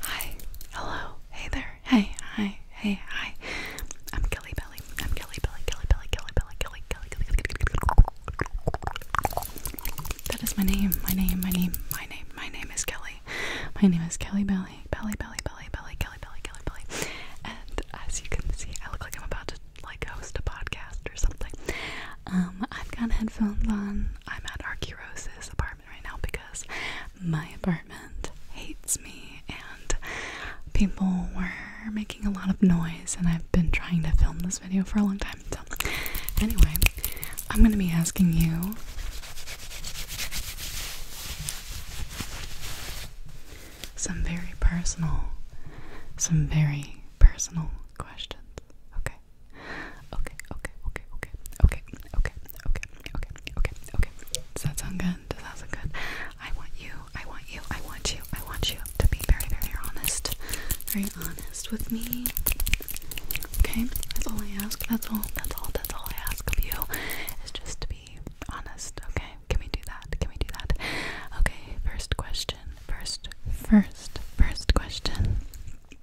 Hi, hello, hey there, hey, hi, hey, hi. I'm Kelly Belly. I'm Kelly Belly, Kelly Belly, Kelly Belly, Kelly, Kelly, Kelly, That is my name, my name, my name, my name, my name is Kelly. My name is Kelly Belly, Belly, Belly, Belly, Belly, Kelly, Belly, Kelly, Belly. And as you can see, I look like I'm about to like host a podcast or something. Um, I've got headphones on I'm at Archiros's apartment right now because my apartment hates me and people were making a lot of noise and I've been trying to film this video for a long time. So anyway, I'm going to be asking you some very personal some very personal questions. Okay okay. Okay, okay, okay, okay, okay, okay, okay, okay, okay, okay. Does that sound good? Does that sound good? I want you, I want you, I want you, I want you to be very, very honest. Very honest with me. Okay? That's all I ask. That's all, that's all, that's all I ask of you. Is just to be honest. Okay? Can we do that? Can we do that? Okay, first question. First, first, first question.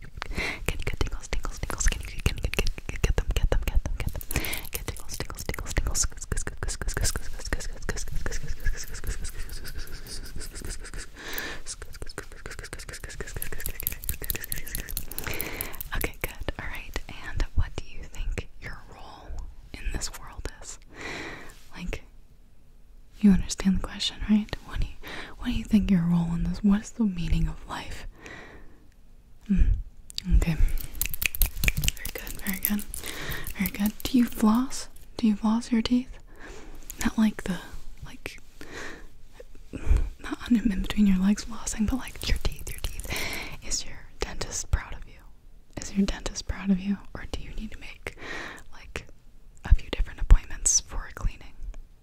Can you get tingles, tingles, tingles? Can you get, get, get, get them, get them, get them, get them? Get tingles, tingles, tingles, tingles. Okay, good. All right. And what do you think your role in this world is? Like, you understand the question, right? What do you, what do you think your role in this? What the meaning of life? Hmm, okay. Very good, very good. Very good. Do you floss? Do you floss your teeth? Not like the like not on in between your legs flossing, but like your teeth, your teeth. Is your dentist proud of you? Is your dentist proud of you? Or do you need to make like a few different appointments for a cleaning?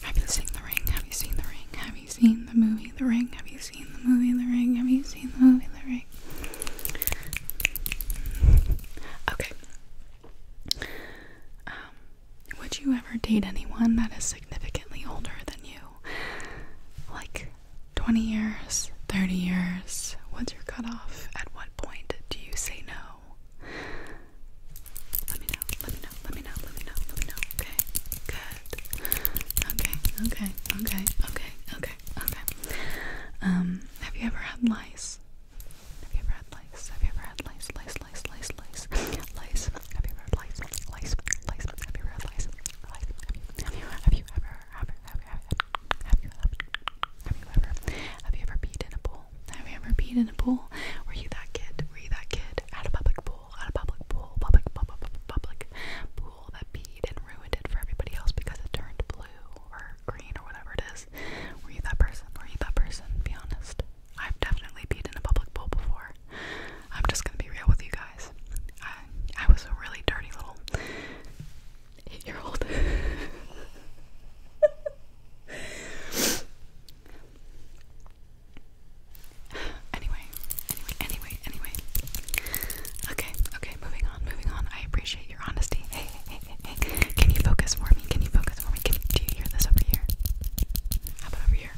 Have you seen The Ring? Have you seen The Ring? Have you seen the movie The Ring? Have you seen the movie The Ring? Have you seen the movie The Ring? Okay. Um, would you ever date anyone that is significantly older than you? Like 20 years, 30 years? What's your cutoff? At what point do you say no? Let me know, let me know, let me know, let me know, let me know. Okay, good. Okay, okay, okay, okay, okay, okay. Um, have you ever had lice? Have you ever had lice? Have you ever had lice? Lice, lice, lice, lice, lice. Have you ever had lice? Lice, lice. Have you ever had lice? Lice. Have you, have you, have you ever, have, have, have, have you, have, have you ever, have you ever peed in a bowl? Have you ever peed in a pool? Were you that kid? Were you that kid at a public pool? At a public pool? Public, public, public, public pool that peed and ruined it for everybody else because it turned blue or green or whatever it is. Were you that person? Were you that person? Be honest. I've definitely peed in a public pool before. I'm just gonna be real with you guys. I, I was a really dirty little eight year old. anyway, anyway, anyway, anyway. Okay, okay, moving on, moving on. I appreciate your honesty. Hey, hey, hey, hey, Can you focus for me? Can you focus for me? Can you, do you hear this over here? How about over here?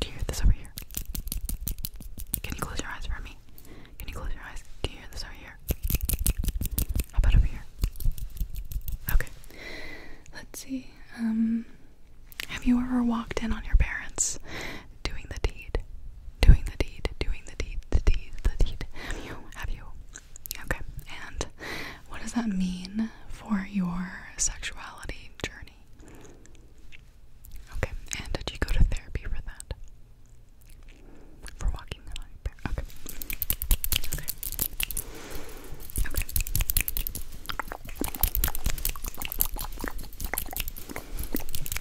Do you hear this over here? Can you close your eyes for me? Can you close your eyes? Do you hear this over here? How about over here? Okay, Let's see. Um, have you ever walked in on your parents doing the deed? Doing the deed, doing the deed, the deed, the deed. Have you? Have you? Okay. And what does that mean for your sexuality journey? Okay. And did you go to therapy for that? For walking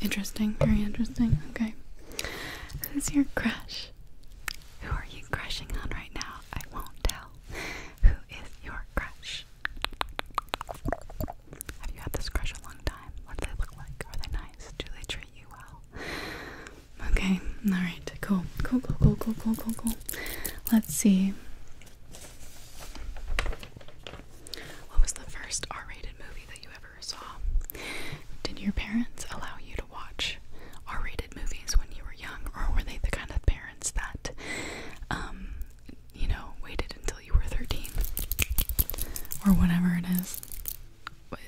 Interesting. Very interesting. Okay. Who's your crush? Who are you crushing on right now? I won't tell. Who is your crush? Have you had this crush a long time? What do they look like? Are they nice? Do they treat you well? Okay, alright, cool. Cool, cool, cool, cool, cool, cool, cool. Let's see. What was the first R rated movie that you ever saw? Did your parents allow you to watch R rated movies when you were young, or were they the kind of parents that, um, you know, waited until you were 13? Or whatever it is.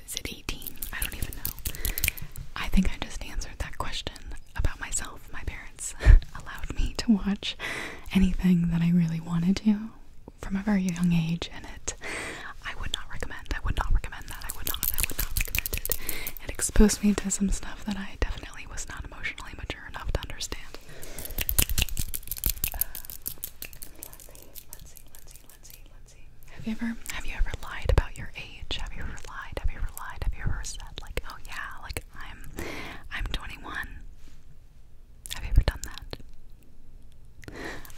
Is it I don't even know. I think I just answered that question about myself. My parents allowed me to watch anything that I really wanted to from a very young age, and it I would not recommend. I would not recommend that. I would not. I would not recommend it. It exposed me to some stuff that I definitely was not emotionally mature enough to understand. Have you ever have you ever lied about your age? Have you ever lied? Have you ever lied? Have you ever said like, oh yeah, like I'm I'm 21? Have you ever done that?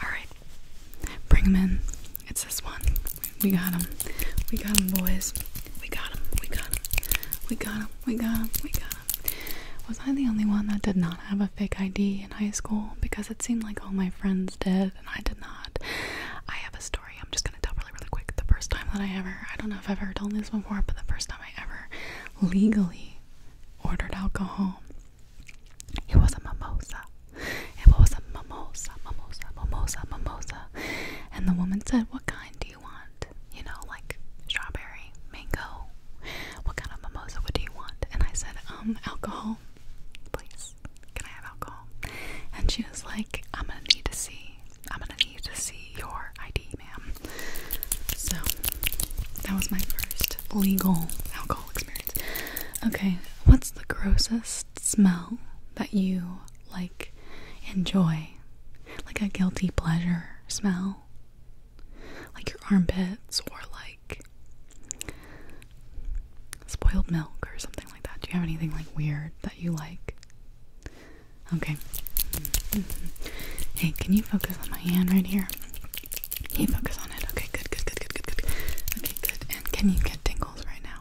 Alright. Bring them in. It's this one. We got them. We got them, boys. We got them. We got them. We got them. We got them. Was I the only one that did not have a fake ID in high school? Because it seemed like all my friends did, and I did not. I have a story. I'm just gonna tell really, really quick. The first time that I ever, I don't know if I've ever told this before, but the first time I ever legally ordered alcohol, it was a mimosa. It was a mimosa, mimosa, mimosa, mimosa. And the woman said, What kind do you want? You know, like strawberry, mango. What kind of mimosa What do you want? And I said, Um, alcohol, please. Can I have alcohol? And she was like, I'm gonna need to see, I'm gonna need to see your ID, ma'am. So that was my first legal alcohol experience. Okay, what's the grossest smell that you like enjoy? Like a guilty pleasure smell? Like your armpits or like spoiled milk or something like that. Do you have anything like weird that you like? Okay. Hey, can you focus on my hand right here? Can you focus on it? Okay, good, good, good, good, good, good. Okay, good. And can you get tingles right now?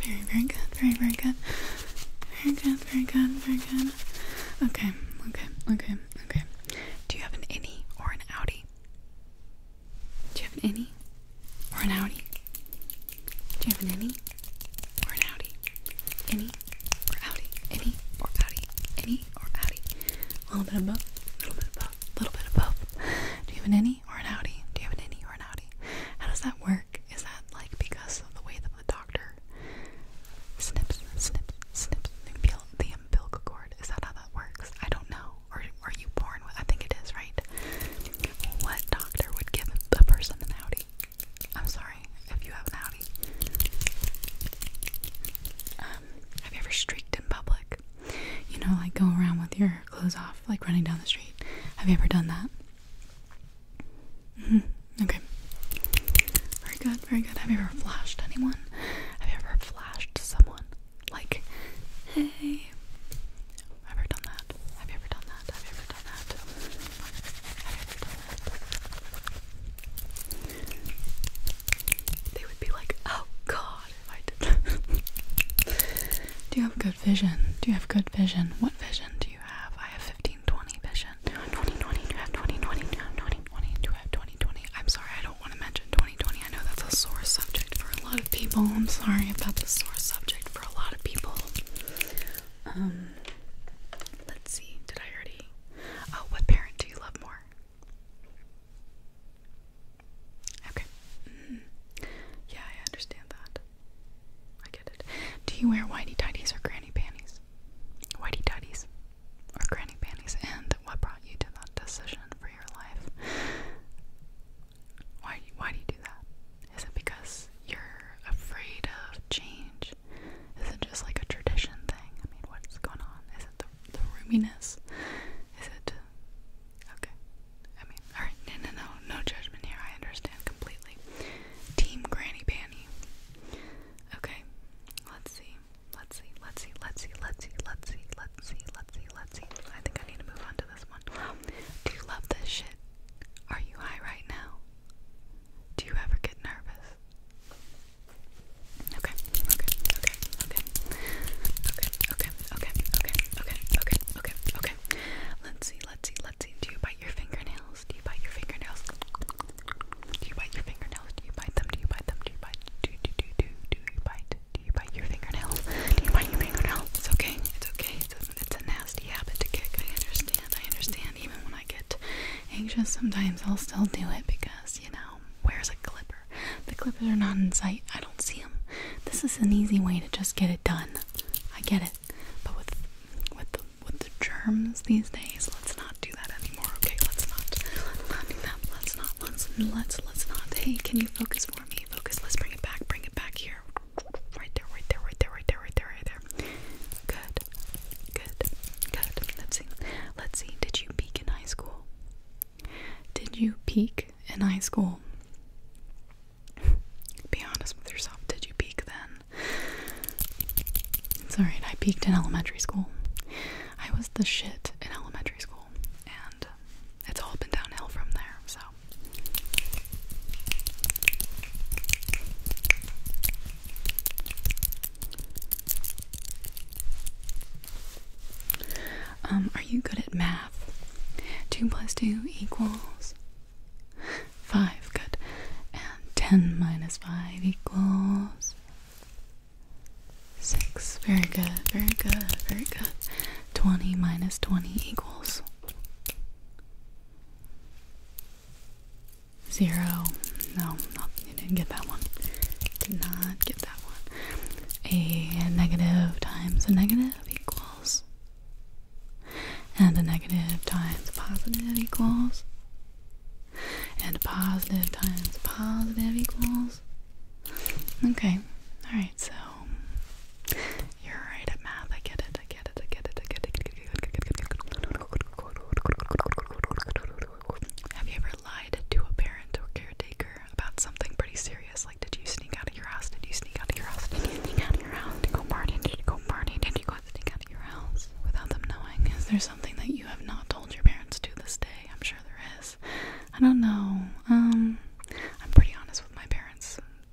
Very, very good, very, very good. Very good, very good, very good. Okay, okay, okay, okay. Do you have an innie or an outie? Do you have an innie or an outie? Do you have an innie or an outie? Innie or outie? Innie or outie? Innie or outie? A little bit of both. A little bit of both. A little bit of both. Do you have an innie or an outie? Do you have an innie or an outie? How does that work? Is that like because of the way that the doctor snips, snips, snips the umbilical cord? Is that how that works? I don't know or are you born with? I think it is, right? What doctor would give a person an Audi? I'm sorry if you have an Audi. Um, have you ever streaked in public? You know, like go around with your clothes off, like running down the street. Have you ever done that? Mm-hmm, okay. Very good, very good. Have you ever flashed anyone? Have you ever flashed someone? Like, hey. Have you ever done that? Have you ever done that? Have you ever done that? Have you ever done that? They would be like, oh god, if I did do you have good vision? Do you have good vision? What vision do you have? I have fifteen twenty vision. Do Do you have 20 Do you have 20 Do you have 20 I'm sorry, I don't want to mention 2020. I know that's a sore subject for a lot of people. I'm sorry about the sore subject for a lot of people. Um, let's see. Did I already? Oh, what parent do you love more? Okay. Mm-hmm. Yeah, I understand that. I get it. Do you wear whitey tighties or granny panties? Whitey tighties or granny panties? And what brought you to that decision for your life? Why do you, why do you do that? Is it because you're afraid of change? Is it just like a tradition thing? I mean, what's going on? Is it the, the roominess? Is it okay? I mean, all right, no, no, no, no judgment here. I understand completely. Team Granny Panny. Okay, let's see. Let's see. Let's see. Let's see. Let's see. Let's see. Let's see. Let's see. Let's see. I think I need to move on to to this one. Do you love this shit? Are you high right now? Do you ever get nervous? Okay, okay, okay, okay, okay, okay, okay, okay, okay, okay, okay, okay. Let's see, let's see, let's see. Do you bite your fingernails? Do you bite your fingernails? Do you bite your fingernails? Do you bite them? Do you bite them? Do you bite? Do do do do do you bite? Do you bite your fingernail? Do you bite your fingernail? It's okay. It's okay. It's a, nasty habit to kick. I understand. I understand. Even when I get anxious, sometimes I'll still do it because, you know, where's a clipper? The clippers are not in sight. I don't see them. This is an easy way to just get it done. I get it. But with with the, with the germs these days, let's not do that anymore. Okay, let's not. Let's not Let's not. let's let's not. Hey, can you focus for me? Focus. Let's bring it back. Bring it back here. Right there, right there, right there, right there, right there, right there. Good, good, good. Let's see. Let's see. Did you peak in high school? Did you peak in high school? Be honest with yourself. Did you peak then? It's alright. I peaked in elementary school. I was the shit in elementary school, and it's all been downhill from there, so. Um, are you good at math? 2 plus 2 equals 5, good. And 10 minus 5 equals 6. Very good, very good, very good. 20 minus 20 equals Zero. No, no, you didn't get that one. Did not get that one. A negative times a negative equals. And a negative times a positive equals. And a positive times a positive equals. Okay, alright, so you're right at math. I get it. I get it. I get it. I get it. Have you ever lied to a parent or caretaker about something pretty serious? Like, did you sneak out of your house? Did you sneak out of your house? Did you sneak out of your house to go party? Did you go party? Did you go sneak out of your house without them knowing? Is there something that you have not told your parents to this day? I'm sure there is. I don't know. Um, I'm pretty honest with my parents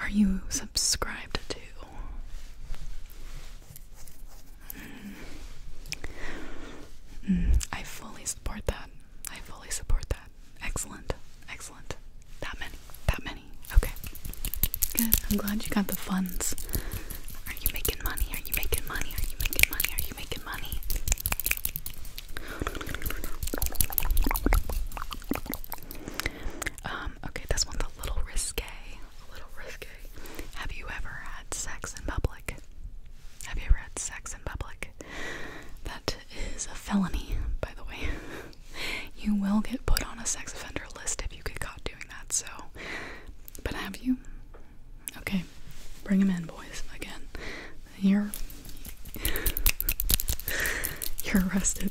are you subscribed to? Mm, I fully support that. I fully support that. Excellent. Excellent. That many. That many. Okay. Good. I'm glad you got the funds. Are you making money? Are you making money? Are you making money? Are you making money? Um, um, okay, this one's a little risque. A little risque. Have you ever had sex in public? Have you ever had sex in public? That is a felony, by the way. you will get put on a sex offender list if you get caught doing that, so. But have you? Okay, bring him in, boys. Again, you're. You're arrested.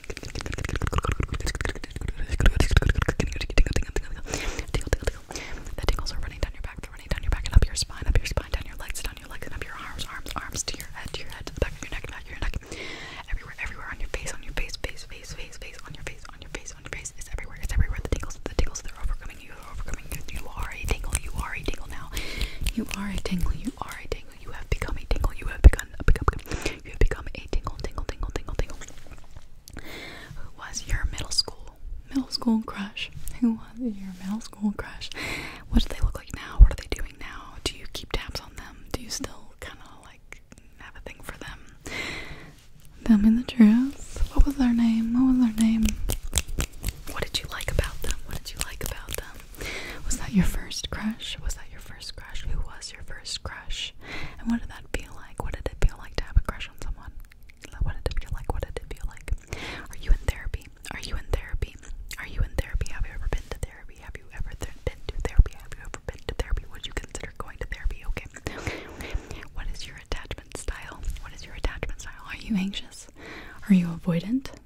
The tingles are running down your back, they're running down your back and up your spine, up your spine, down your legs, down your legs, and up your arms, arms, arms, to your head, to your head, to the back of your neck, back of your neck. Everywhere, everywhere, on your face, on your face, face, face, face, face, on your face, on your face, on your face. It's everywhere, it's everywhere. The tingles, the tingles, they're overcoming you, they're overcoming you. You are a tingle, you are a tingle now. You are a tingle, you are a tingle you have become a tingle, you have begun, become, you have become a tingle, tingle, tingle, tingle, tingle. Who was your middle school, middle school crush? Who was your middle school crush? What do they look like now? What are they doing now? Do you keep tabs on them? Do you still kind of like have a thing for them? Tell me the truth. What was their name? What was their name? What did you like about them? What did you like about them? Was that your first crush? Was that your first crush? Who was your first crush? And what did that feel like? What did it feel like to have a crush on someone? What did it feel like? What did it feel like? Are you in therapy? Are you in therapy? Are you in therapy? Have you ever been to therapy? Have you ever been to therapy? Have you ever been to therapy? Would you consider going to therapy? Okay. What is your attachment style? What is your attachment style? Are you anxious? Are you avoidant?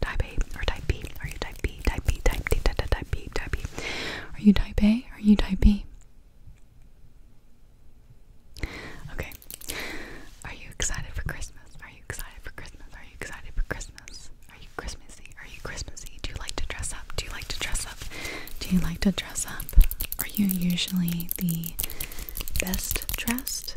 type A, or type B? Are you type B, type B, type D, type, B, type B? Are you type A? Are you type B? Okay. Are you excited for Christmas? Are you excited for Christmas? Are you excited for Christmas? Are you Christmasy? Are you Christmasy? Do you like to dress up? Do you like to dress up? Do you like to dress up? Are you usually the best dressed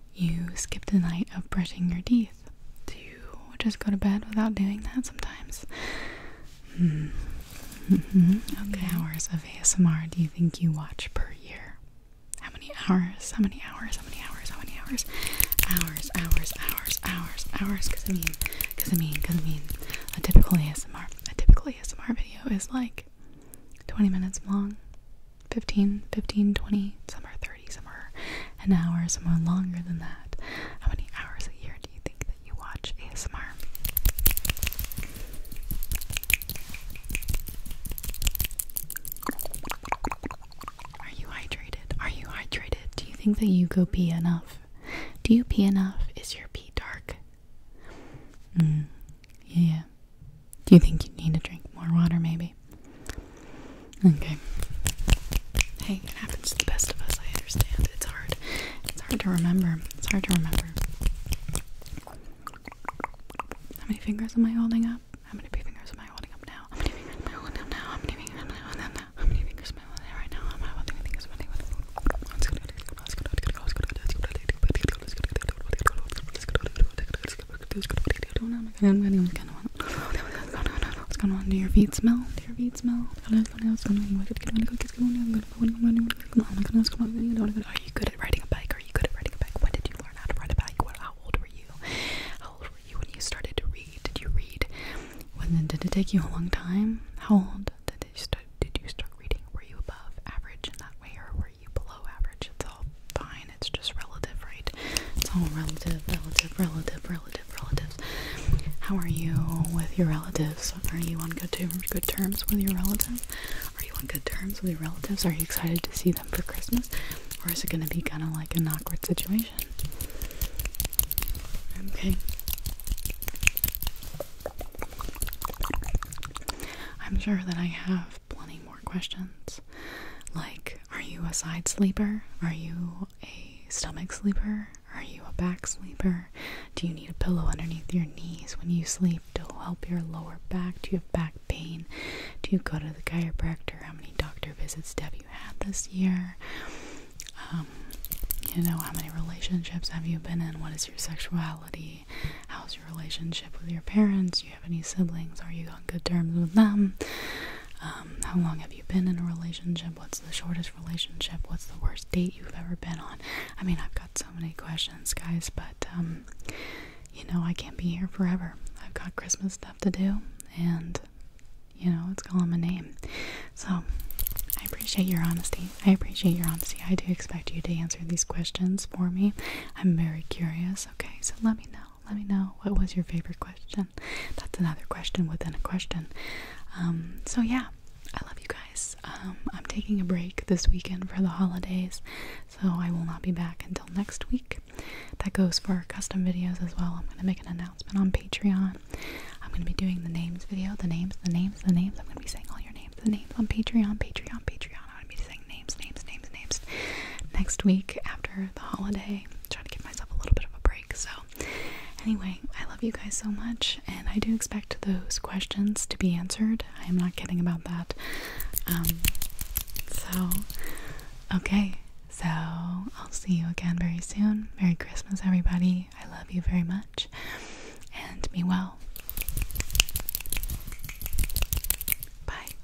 you skip the night of brushing your teeth. Do you just go to bed without doing that sometimes? Mm. okay, hours of ASMR do you think you watch per year? How many hours? How many hours? How many hours? How many hours? Hours, hours, hours, hours, hours. Because I mean, because I mean, because I mean, a typical ASMR, a typical ASMR video is like 20 minutes long. 15, 15, 20, some are 30, some are an hour, some are longer than that. How many hours a year do you think that you watch ASMR? Are you hydrated? Are you hydrated? Do you think that you go pee enough? Do you pee enough? Is your pee dark? Mm, yeah. Do you think you need to drink more water, maybe? Okay. Hey, it happens to the best of us, I understand. It's hard. It's hard to remember. It's hard to remember. How many fingers am I holding up? How many fingers am I holding up now? How many fingers am I holding up now? How many fingers am I holding up now? How many fingers am I holding up right now? How many fingers am I holding up now? What's going on? Do your feet smell? Do your feet smell? Are you good at riding a bike? Are you good at riding a bike? When did you learn how to ride a bike? What, how old were you? How old were you when you started to read? Did you read? When did it take you a long time? How old did you start? Did you start reading? Were you above average in that way, or were you below average? It's all fine. It's just relative, right? It's all relative, relative, relative, relative, relatives. How are you with your relatives? Are you on good terms, good terms with your relatives? Are you on good terms with your relatives? Are you excited to see them for Christmas? Or is it going to be kind of like an awkward situation? Okay. I'm sure that I have plenty more questions, like are you a side sleeper? Are you a stomach sleeper? Are you a back sleeper? Do you need a pillow underneath your knees when you sleep to help your lower back? Do you have back pain? Do you go to the chiropractor? How many doctor visits have you had this year? Um, you know, how many relationships have you been in? What is your sexuality? How's your relationship with your parents, have any siblings? Are you on good terms with them? Um, how long have you been in a relationship? What's the shortest relationship? What's the worst date you've ever been on? I mean, I've got so many questions, guys, but um, you know, I can't be here forever. I've got Christmas stuff to do, and you know, it's calling my name. So, I appreciate your honesty. I appreciate your honesty. I do expect you to answer these questions for me. I'm very curious, okay? So, let me know. Let me know what was your favorite question. That's another question within a question. Um, so yeah, I love you guys. Um, I'm taking a break this weekend for the holidays, so I will not be back until next week. That goes for custom videos as well. I'm going to make an announcement on Patreon. I'm going to be doing the names video, the names, the names, the names. I'm going to be saying all your names, the names on Patreon, Patreon, Patreon. I'm going to be saying names, names, names, names next week after the holiday trying to give myself a little bit of a break. So, anyway, I love you guys so much, and I do expect those questions to be answered. I am not kidding about that. Um, so, okay. So, I'll see you again very soon. Merry Christmas, everybody. I love you very much. And be well. Bye.